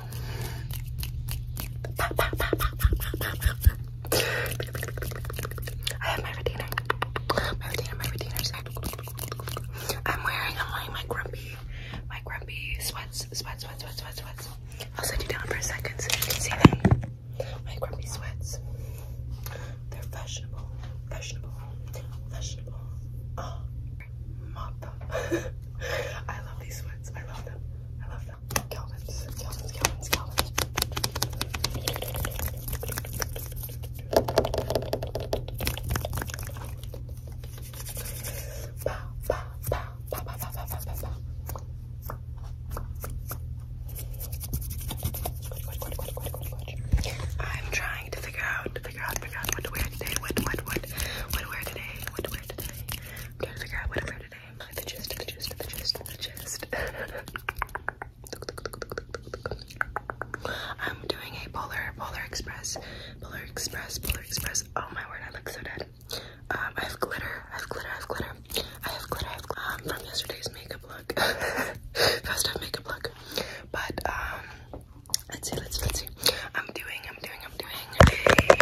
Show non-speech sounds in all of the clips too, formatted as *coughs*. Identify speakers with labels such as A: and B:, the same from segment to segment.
A: I have my retainer. My retainer, my retainers. I'm wearing i my grumpy, my grumpy sweats, sweats, sweats, sweats, sweats, sweats. I'll set you down for a second so you can see them. My grumpy sweats. They're fashionable, fashionable, fashionable. Oh, mop *laughs* I love these sweats. I love them. I love them. Calvin's, Calvin's, Calvin's, Calvin's. Pow, pow, pow, pow, pow, pow, pow, pow, pow. I'm trying to figure out, figure out, figure out what to wear today. What, what, what, what to wear today? What, I'm trying to figure out what to wear today. I'm doing a Polar, Polar Express, Polar Express, Polar Express. Oh my word, I look so dead. Um, I have glitter, I have glitter, I have glitter. I have glitter, I have glitter. Um, from yesterday's makeup look. *laughs* Festive makeup look. But, um, Let's see, let's let's see. I'm doing, I'm doing, I'm doing a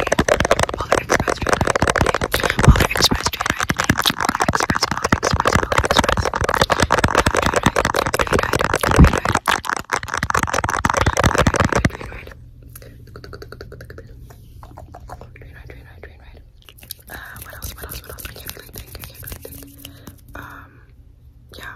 A: Polar Express train ride today. Polar Express train ride today. Polar Express, Polar Express, Polar Express. Train ride, train ride, train ride, train ride. Train ride, train ride, train ride. Uh, what else? What else? What else? I can't really think. I can't really think. Um, yeah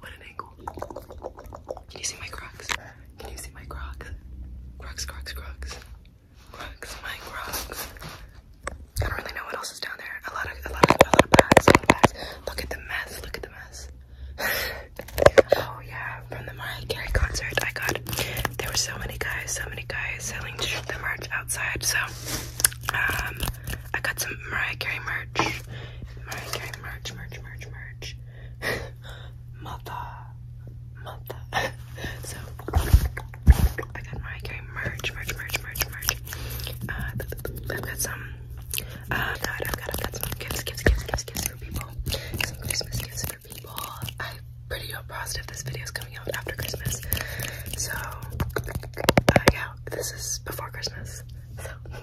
A: what an angle. Can you see my crocs? Can you see my crocs? Crocs, crocs, crocs. Crocs, my crocs. I don't really know what else is down there. A lot of a lot of a lot of bags, a lot of bags. Look at the mess, look at the mess. *laughs* oh yeah, from the Mariah Carey concert I got there were so many guys, so many guys selling the merch outside, so um I got some Mariah Carey merch. Mariah Carey merch, merch, merch, merch church. *laughs* mother, mother. *laughs* so I got Mariah Carey merch, merch, merch, merch, merch. Uh, I've got some. Uh, no, I've got, I've got some gifts, gifts, gifts, gifts, gifts for people. Some Christmas gifts for people. I'm pretty positive this video is coming out after Christmas. So, uh, yeah, this is before Christmas. So.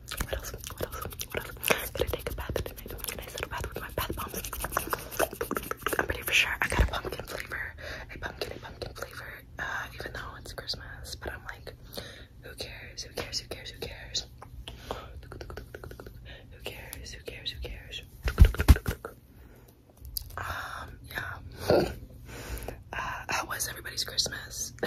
A: What else? What else? What else? Can I take a bath tonight? Can I set a bath with my bath bombs? I'm pretty for sure I got a pumpkin flavor, a pumpkin, a pumpkin flavor, uh, even though it's Christmas, but I'm like, who cares? Who cares? Who cares? Who cares? Who cares? Who cares? Who cares? Um, yeah. *laughs* Uh, how was everybody's Christmas? *laughs*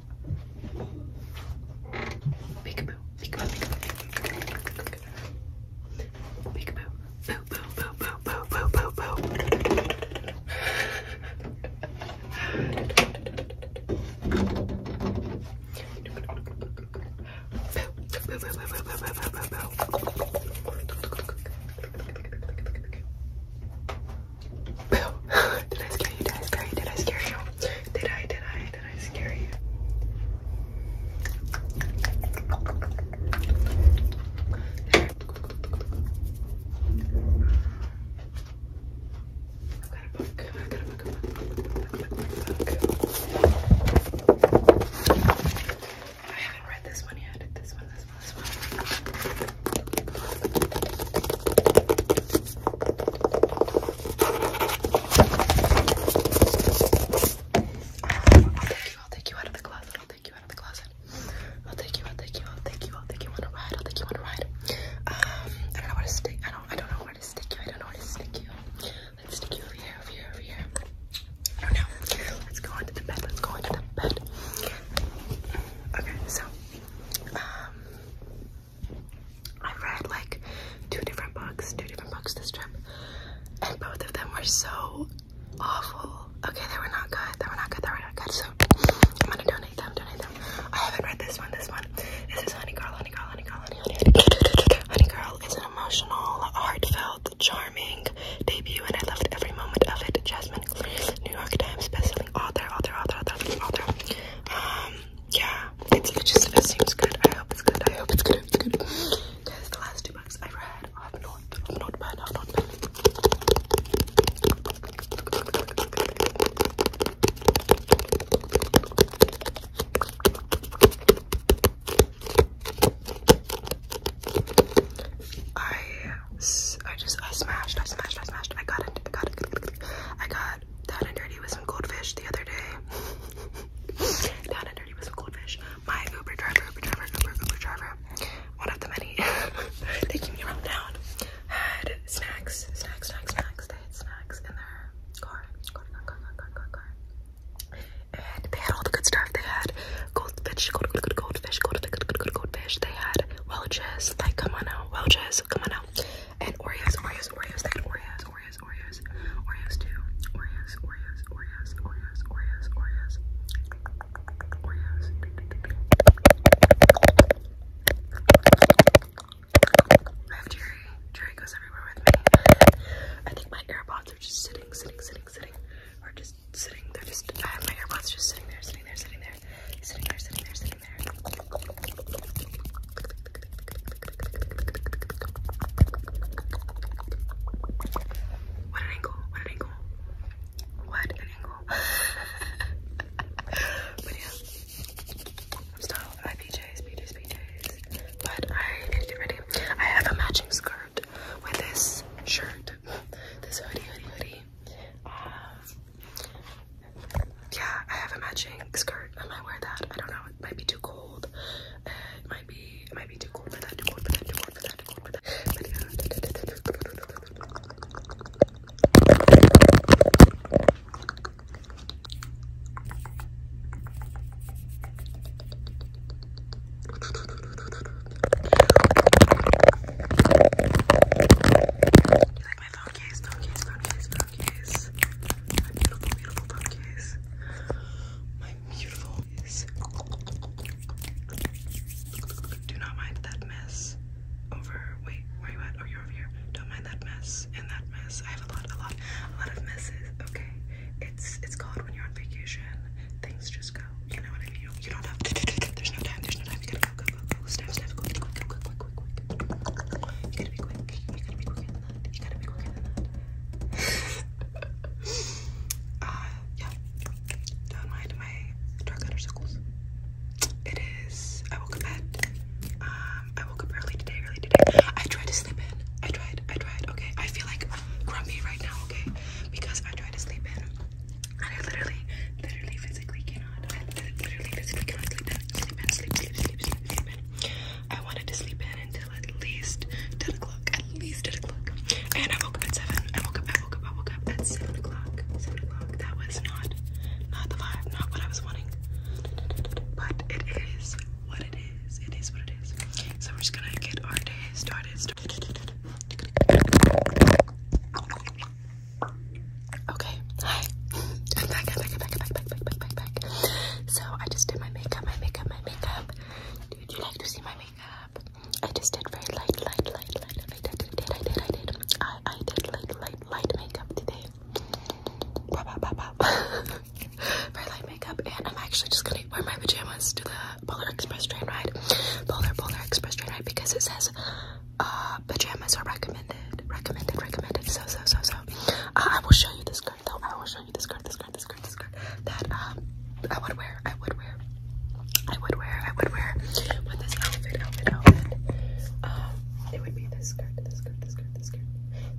A: Peekaboo, peekaboo, peekaboo, peekaboo, boo, boo, boo, boo, boo, boo, boo, boo. *coughs* did I scare you? Did I scare you? Did I scare you? Did I? Did I? Did I scare you? I've got a book. I've got not read this one yet. This one. This this one. Um, I'll take you, I'll take you out of the closet, I'll take you out of the closet. I'll take you, I'll take you, I'll take you, I'll take you on a ride, I'll take you on a ride. Um, I don't know where to stick, I don't, I don't know where to stick you, I don't know where to stick you. Let's stick you over here, over here, over here. I oh, don't know. Let's go into the bed, let's go into the bed. Okay, so um, I read like two different books, two different books this trip, and both of them were so awful. Okay, they were not good. They were not good. They were not good. So I'm gonna donate them. Donate them. I haven't read this one. This one. This is Honey Girl. Honey Girl. Honey Girl. Honey Honey. honey Girl is an emotional, heartfelt, charming debut, and I loved every moment of it. Jasmine, New York Times bestseller author, author, author, author, author. Um, yeah, it's, just it seems good. I hope it's good. I hope it's good. It's good. Because the last two books I read have not, have not bad, have not bad. I I just, I smashed, I smashed, I smashed. I got it, I got it. I got down and dirty with some goldfish the other day. down and dirty with some goldfish. My Uber driver, Uber driver, Uber, Uber driver, one of the many taking me around town, had snacks, snacks, snacks, snacks. They had snacks in their car, car, car, car, car, car, And they had all the good stuff. They had goldfish, gold, gold, gold, goldfish, goldfish, goldfish. They had Welch's. Like, come on now. Welch's, come on now. And Oreos, Oreos, Oreos, like Oreos, Oreos, Oreos, Oreos too. Oreos, Oreos, Oreos, Oreos, Oreos, Oreos. Oreos. I have Jerry. Jerry goes everywhere with me. I think my AirPods are just sitting, sitting, sitting, sitting. Or just sitting. They're just I have my AirPods just sitting there, sitting there, sitting there sitting there, sitting there, sitting there. What an angle, what an angle. What an angle. *laughs* but yeah, i PJs, PJs, PJs. But I need to get ready. I have a matching skirt with this shirt, *laughs* this hoodie, um, yeah, I have a matching skirt. I might wear that. I don't know. It might be too cold. it might be. It might be too cold for that. Too cold for that. Too cold for that. Too cold for that my phone case, phone My beautiful, beautiful phone My beautiful Do not mind that mess. Over. Wait, where you at? Oh, you're over here. Don't mind that mess and that mess. I have a lot, a lot, a lot of messes. Okay, it's it's called when you're on vacation. Things just go. You know what I mean? You, don't have. There's no time. There's no time. Snap, snap, quick, quick, quick, quick, quick, quick. You gotta be quick. You gotta be quicker than that. You gotta be quicker than that. *laughs* uh, yeah. Don't mind my dark outer circles. It is. I woke up at. Um, I woke up early today. Early today. I tried to sleep in. I tried. I tried. Okay. I feel like grumpy right now. Okay, because I tried to sleep in. I literally, literally, physically cannot. literally, physically cannot sleep in. Sleep in, sleep, sleep, sleep, sleep, in. I wanted to sleep in until at least 10 o'clock. At least 10 o'clock. And I woke up at 7. I woke up, I woke up, I woke up at 7 o'clock. 7 o'clock. That was not, not the vibe, not what I was wanting. But it is what it is. It is what it is. So we're just gonna get our day started. Okay, hi. I'm back, I'm back, I'm back, I'm back, back, back, back, back, back. So I just did my makeup, my makeup, my makeup. Would you like to see my makeup? I just did very light, light, light, light. I did, I did, I did, I did. I, I did light, light, light makeup today. Pop, pop, pop, pop. very light makeup, and I'm actually just gonna wear my pajamas to the Polar Express train ride. Polar, Polar Express train ride because it says uh, pajamas are recommended. Recommended, recommended. So, so, so, so. Uh, I will show you the skirt though. I will show you the skirt, the skirt, the skirt, the skirt that um, I would wear. I would wear. I would wear. I would wear with this outfit, outfit, outfit. Um, it would be this skirt, this skirt, this skirt, this skirt.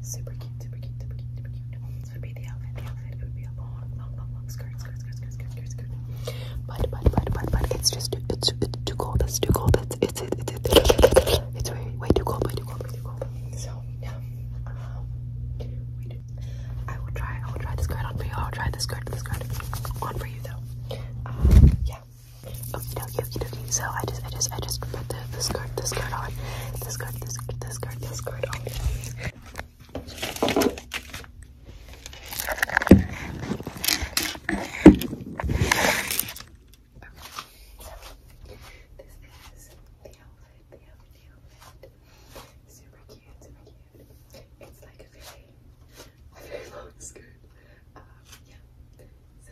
A: Super cute, super cute, super cute, super cute. This would be the outfit, the outfit. It would be a long, long, long, long skirt, skirt, skirt, skirt, skirt, skirt, skirt. But but but but but it's just too, it's it's too cold. It's too cold. It's it's it's it's, it's, it's way way too cold. Way too cold. Way too cold. So yeah. Um, we do. I will try. I will try this skirt on for you. I'll try this skirt. This skirt on for you though. Um, yeah. Okie dokie. Okie dokie. So I just I just I just put the, the skirt the skirt on. The skirt this the skirt the skirt on the outfit, the outfit. Super cute, super cute. It's like a very, very long skirt. yeah. So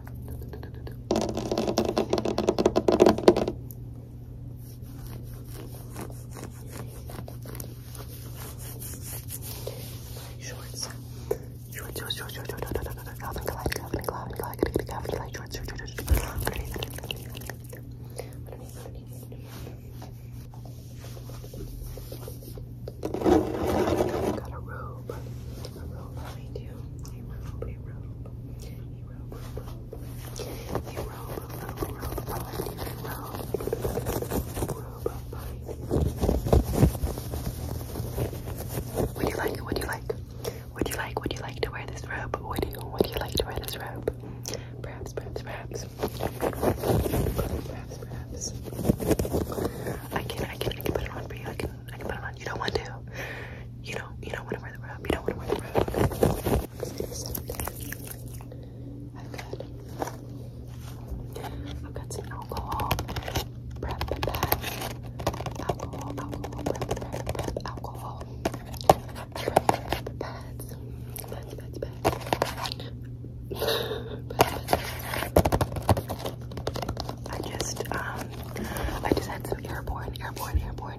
A: Shorts. Shorts, shorts, shorts, shorts, shorts, shorts, Calvin Klein, Calvin Klein, Calvin Klein, Calvin Klein, shorts, shorts, shorts, shorts, underneath, underneath, underneath, underneath. Got a robe, a robe behind you, a robe, a robe robe. You You robe, robe, robe, You robe, robe, robe. Would you like? Would you like? Would you like? Would you like to wear this robe? Would you? Would you like to wear this robe? perhaps. Perhaps, perhaps. I can, I can, I can put it on for you. I can, I You don't want to. You don't. You don't want to wear the robe. You don't want to wear the robe. I've got. some alcohol prep pack. Alcohol. Alcohol prep prep prep alcohol. prep pads. Pads. Pads. Pads. I just um I just had some airborne, airborne, airborne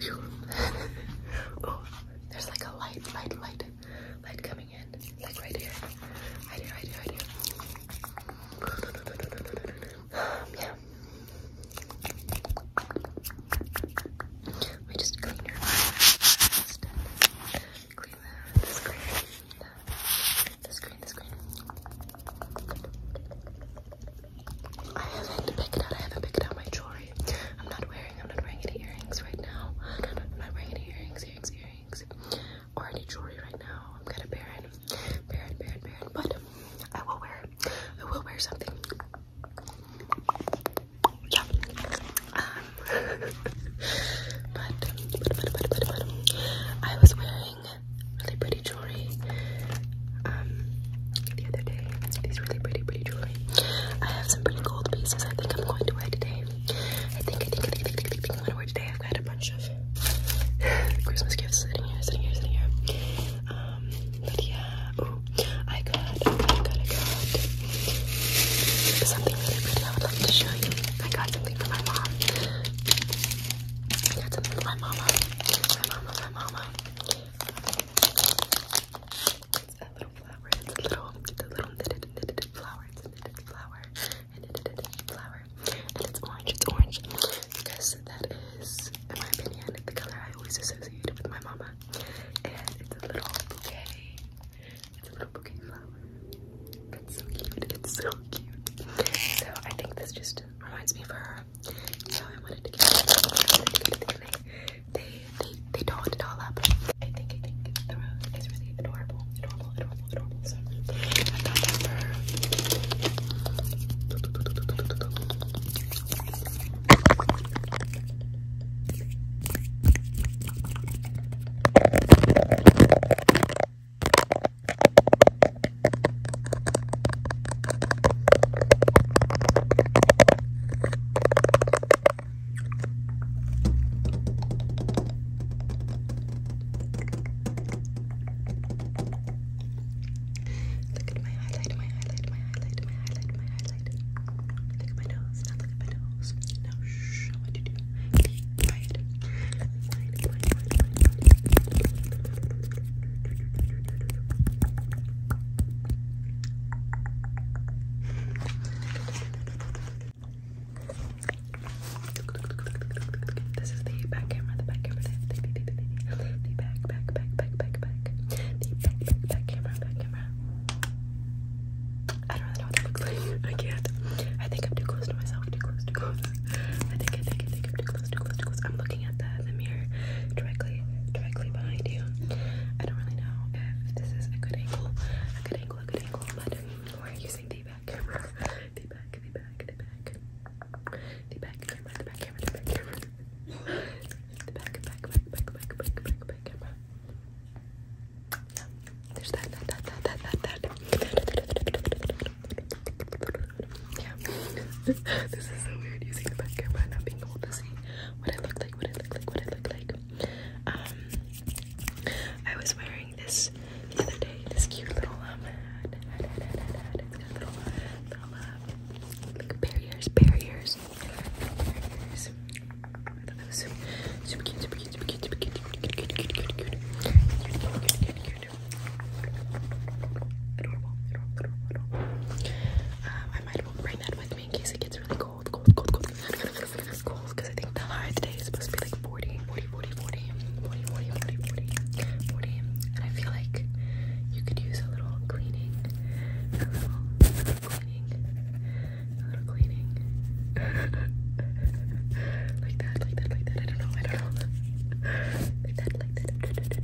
A: *laughs* there's like a light, light, light, light coming in. Like right here. Right here, right *sighs* yeah. Let just clean your eyes. Clean the, the screen. The, screen, the screen. I haven't picked out, I haven't picked out my jewelry sorry. I'm not wearing, I'm not wearing any earrings right now. I'm not wearing any earrings, earrings, earrings. Or any jewelry right now. I'm kind of barren. Barren, barren, barren. But I will wear, I will wear something. Yeah. Um, but, but, but, but, but, but, I was wearing really pretty jewelry. Um, the other day. These really pretty, pretty jewelry. I have some pretty gold pieces. I think I'm going to wear today. I think, I think, I think, I think, I think, I think am going to wear today. I've got a bunch of *sighs* Christmas gifts sitting here, sitting here, sitting here. Um, but yeah, I got, I got, I got something really pretty. I would love to show you. I got something for my mom. I got something for my mama. My mama, my mama. It's a little flower. It's a little, it's a little knitted, knitted flower. It's a knitted flower. A knitted, knitted flower. And it's orange. It's orange because that is, in my opinion, the color I always associate with my mama. And it's a little bouquet. It's a little bouquet flower. It's so cute. It's so cute. So I think this just reminds me of her. So I wanted to get it. I wanted to get it they they they dolled it all up. I think I think the really adorable, adorable, adorable, adorable. Look at my highlight, my highlight, my highlight, my highlight, my highlight. Look at my nose, now look at my nose. Now shh, I want you to do. Be quiet. Quiet, quiet, quiet, quiet, quiet. This is the back camera, the back camera, the, back, back, back, back, back, back, the back, back, camera, back camera. I don't really know what that looks like. *laughs* I can't. I think I'm too close to myself. Too close. Too close. I think. I think. I think I'm too close. Too close. Too close. I'm looking at the the mirror directly, directly behind you. I don't really know this is a good angle, a good angle, a good angle, we're using the back camera, the back, the back, the back, the back the back the back camera, the back, back, back, back, back, back, back, back camera. Yeah, there's that, that, that, that, that, that, that. Yeah, *laughs* this is so weird using the back camera and not being able to see what I look I was wearing this the other day, this cute little, hat, barriers, barriers, barriers. I super, cute, super cute, super cute, super cute, super cute, cute, cute, cute, cute, cute, cute, cute, cute, I might bring that with me in case it gets really cold, cold, cold, cold. because I think the today is supposed to be like 40, 40, 40, 40, 40, 40, 40, 40, 40. And I feel like you could use a little cleaning, a little, a little cleaning, a little cleaning. like that, like that, like that. I don't know, I don't know. like that, like that.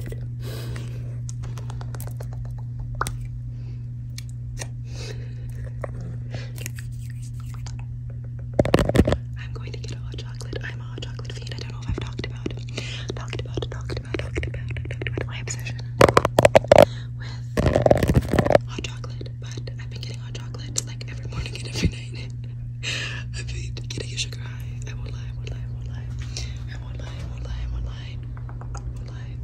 A: I'm going to get a hot chocolate. I'm a hot chocolate fiend. I don't know if I've talked about talked about talked about talked about talked about my obsession with hot chocolate, but I've been getting hot chocolate like every morning and every *laughs* night. I've been getting a sugar high. I won't lie, I won't lie, I won't lie. I won't lie, I won't lie, I won't lie, I won't lie. I won't lie.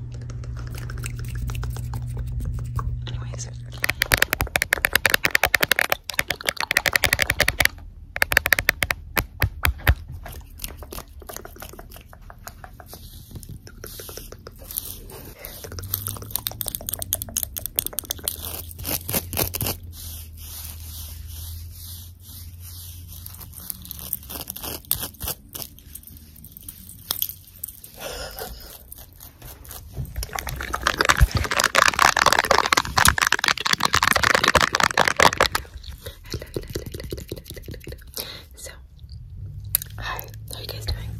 A: Anyways. So, hi, how you guys doing?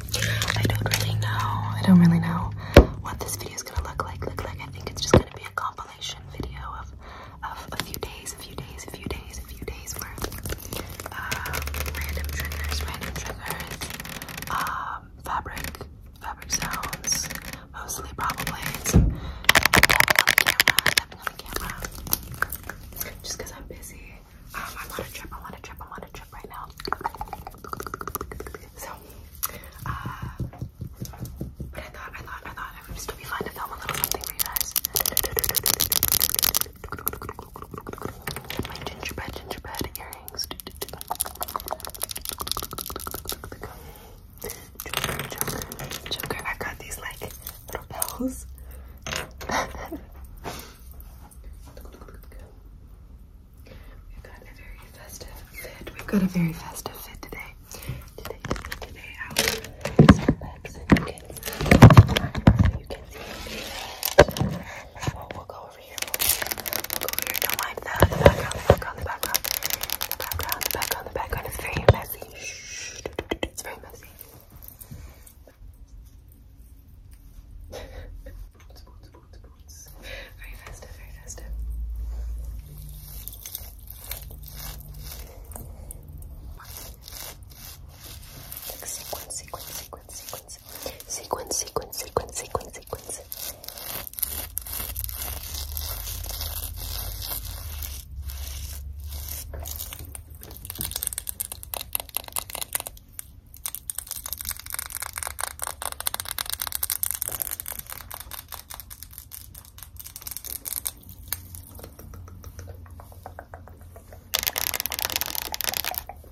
A: I don't really know. I don't really know what this video is gonna look like. Look like I think it's just gonna be a compilation video of of a few days, a few days, a few days, a few days where Um, uh, random triggers, random triggers. Um, fabric, fabric sounds, mostly probably some on the camera, tapping on the camera. Just because I'm busy. Um, I'm on a trip, I'm on a trip, I'm on a trip right now. So, but uh, I thought, I thought, I thought it would still be fun to film a little something for you guys. Joker, I got these like little bells. We've got a very festive fit. We've got a very festive fit today. Today, today, I we'll go over here. go here. Don't mind the, background, the background, the background. The background, the background, the very messy. Shh. It's very messy. Very festive, very festive. Like sequence, sequence, sequence, sequence. Sequence, sequence, sequence, sequence, sequence.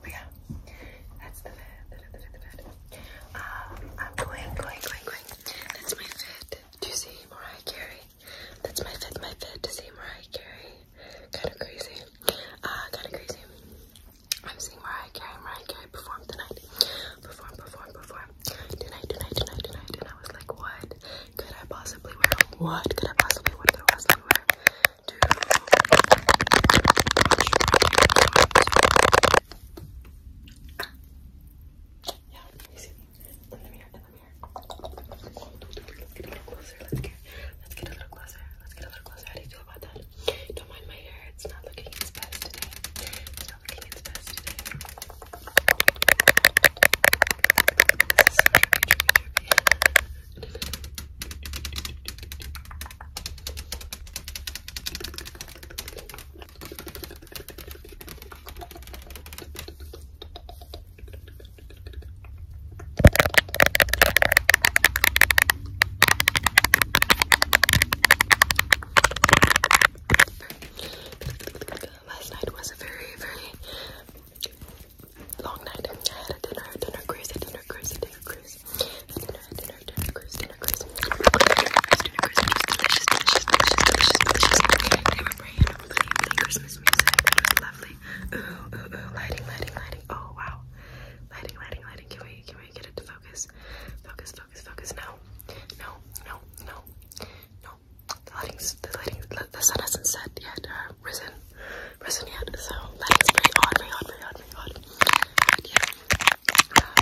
A: But yeah, that's the fit. Um, I'm going, going, going, going. That's my fit to see Mariah Carey. That's my fit, my fit to see Mariah Carey. Kind of crazy. Uh, kind of crazy. I'm seeing Mariah Carey. Mariah Carey perform tonight. Perform, perform, perform. Tonight, tonight, tonight, tonight. And I was like, what? could I possibly wear? What could I possibly, wear? could I possibly wear? To yeah, you see in the mirror, in the mirror. Let's get a little closer. Let's get, let's get a little closer. Let's get a little closer. How do you feel about that? Don't mind my hair. It's not looking its best today. It's not looking its best today. So drippy, drippy, drippy. Last night was a very, very long night. I had a dinner, dinner cruise, dinner cruise, dinner cruise, dinner, dinner, dinner cruise, dinner cruise, delicious, delicious, delicious, delicious, delicious. They were praying over the Christmas music. It lovely. Ooh, ooh, ooh, lighting, lighting, lighting. Oh wow, lighting, lighting, lighting. Can we, can we get it to focus? Focus, focus, focus. No, no, no, no, no, the lighting's the lighting the, the sun hasn't set yet, uh, risen, risen yet. So that is very odd, very odd, very odd, very odd. But yeah, um,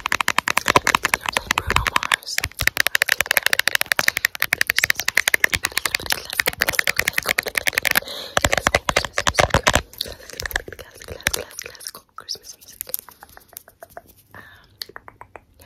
A: they're playing Bruno Mars. Classical Christmas music. Um, yeah.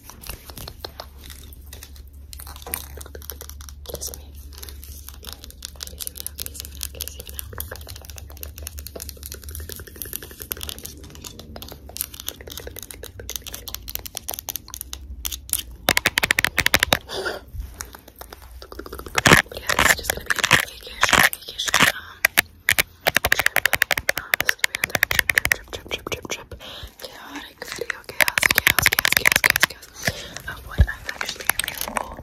A: Kiss me. Kiss me now, kiss me now, kiss me now. but yeah, this is just gonna be a vacation, vacation, um, trip. Um, this is gonna be another trip, trip, trip, trip, trip, trip, trip chaotic video chaos, chaos, chaos, chaos, chaos, chaos of what I'm actually available,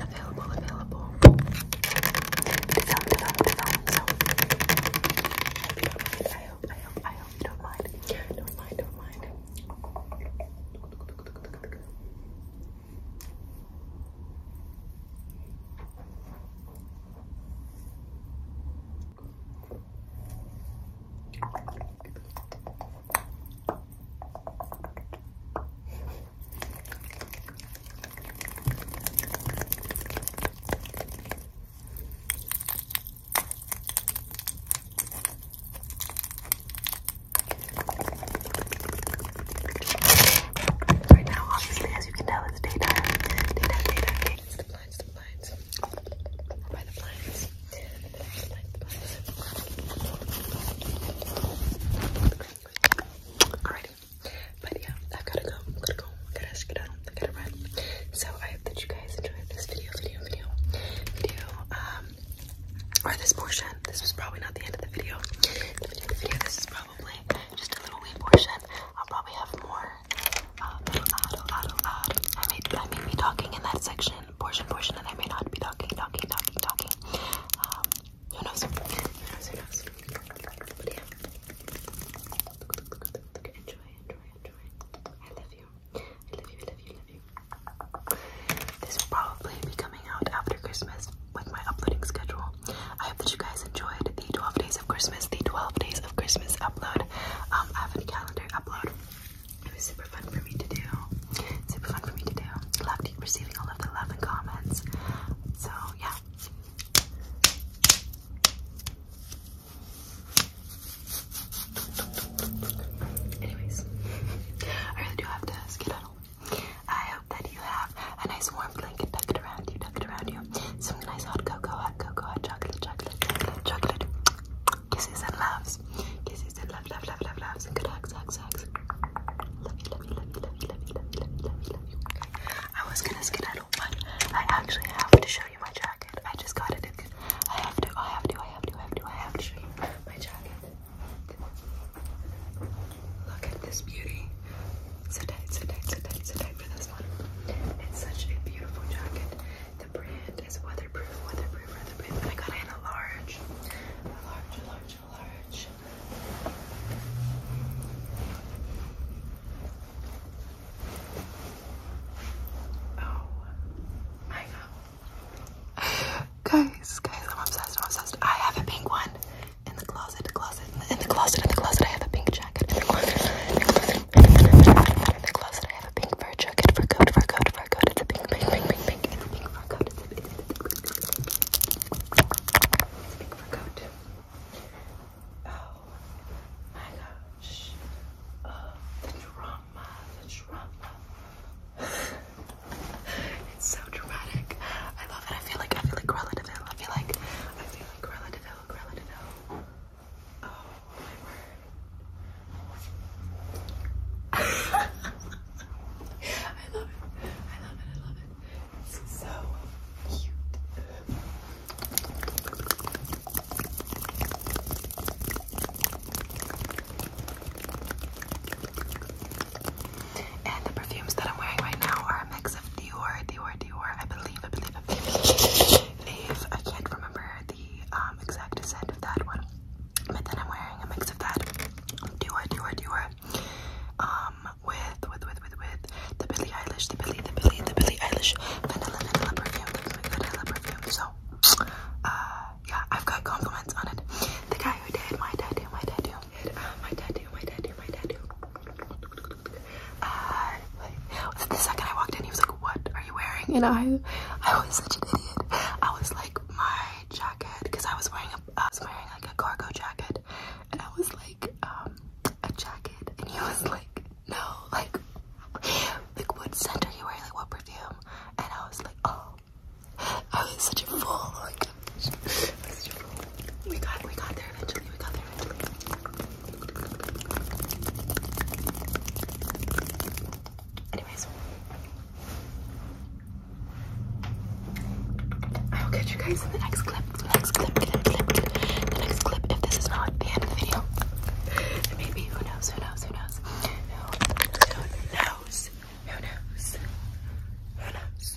A: available, available. It's out, it's out, I hope I hope, I hope, you don't mind. Don't mind, don't mind. Right now, obviously, as you can tell, it's daytime. Daytime, daytime, daytime. It's the blinds, the Alrighty. But yeah, I've gotta go. I've gotta go. I got to go got to skedaddle. I gotta run. So I hope that you guys enjoyed this video, video, video, video. Um, or this portion. This was probably not the end of the video. video, video. This is probably just a little wee portion. I'll probably have more. Uh, I may, I may be talking in that section portion, portion, and I may not be talking, talking, talking, talking. Um, who knows? Enjoy, enjoy, enjoy. I love you. I love you, I love you, I love you. This will probably be coming out after Christmas with my uploading schedule. I hope that you guys enjoyed the 12 days of Christmas, the 12 days of Christmas upload. Um, I have a calendar upload. It was super fun for me to do. Super fun for me to do. Love receiving all of the love and comments. So yeah. Anyways, I really do have to skedaddle. I hope that you have a nice warm blanket tucked around you, tucked around you. Some nice hot cocoa, hot cocoa, hot chocolate, chocolate, chocolate, chocolate. Kisses and loves. Kisses and love, love, love, love, loves. And good hugs, hugs, hugs. Love you, love you, love you, love you, love you, love you, love you, love you, love you. I was gonna skedaddle, but I actually have to show you my jacket. I just got it. I have to, I have to, I have to, I have to, I have to show you my jacket. Look at this beauty. So tight, so tight, so tight, so tight for this one. It's such a beautiful jacket. The brand is Weatherproof, Weatherproof, Weatherproof. I got it in a large. large, large, large. Oh my god. Guys, guys, I'm obsessed, I'm obsessed. I have a pink one in the closet, closet, in the, closet, in the closet. I have a pink jacket in the closet, in the closet, I have a pink fur jacket, fur coat, fur coat, fur coat. It's a pink, pink, pink, pink, pink. It's a pink fur coat. It's a pink, pink fur coat. Oh my gosh. Oh, the drama, the drama. it's so dramatic. I love it. I feel like I feel like Cruella de Vil. I feel like I feel like Cruella de Vil, Cruella de Vil. Oh my word. I love it. I love it. I love it. It's so cute. And the perfumes that I'm wearing right now are a mix of Dior, Dior, Dior. I believe, I believe, I believe. I can't remember wear the um, exact set of that one. But then I'm wearing a mix of that doer, doer, doer. Um, with, with, with, with, with the Billie Eilish, the Billie, the Billie, the Billie Eilish vanilla, vanilla perfume, the vanilla perfume. So, uh, yeah, I've got compliments on it. The guy who did my tattoo, my tattoo, did, uh, my tattoo, my tattoo, my tattoo. Uh, wait, the second I walked in, he was like, what are you wearing? And I, I was such an idiot. I was like, my jacket, because I was wearing a, I was wearing like a cargo jacket, and I was like, um, a jacket, and he was like, no, like, like what scent are you wearing? Like what perfume? And I was like, oh, I such a fool. *laughs* I was such a fool. We got, we got there eventually. We got there eventually. Anyways, I will catch you guys in the next clip. The next clip, The next clip. If this is not the end of the video, maybe Who knows? Who knows? Who knows? Who knows? Who knows? Who knows?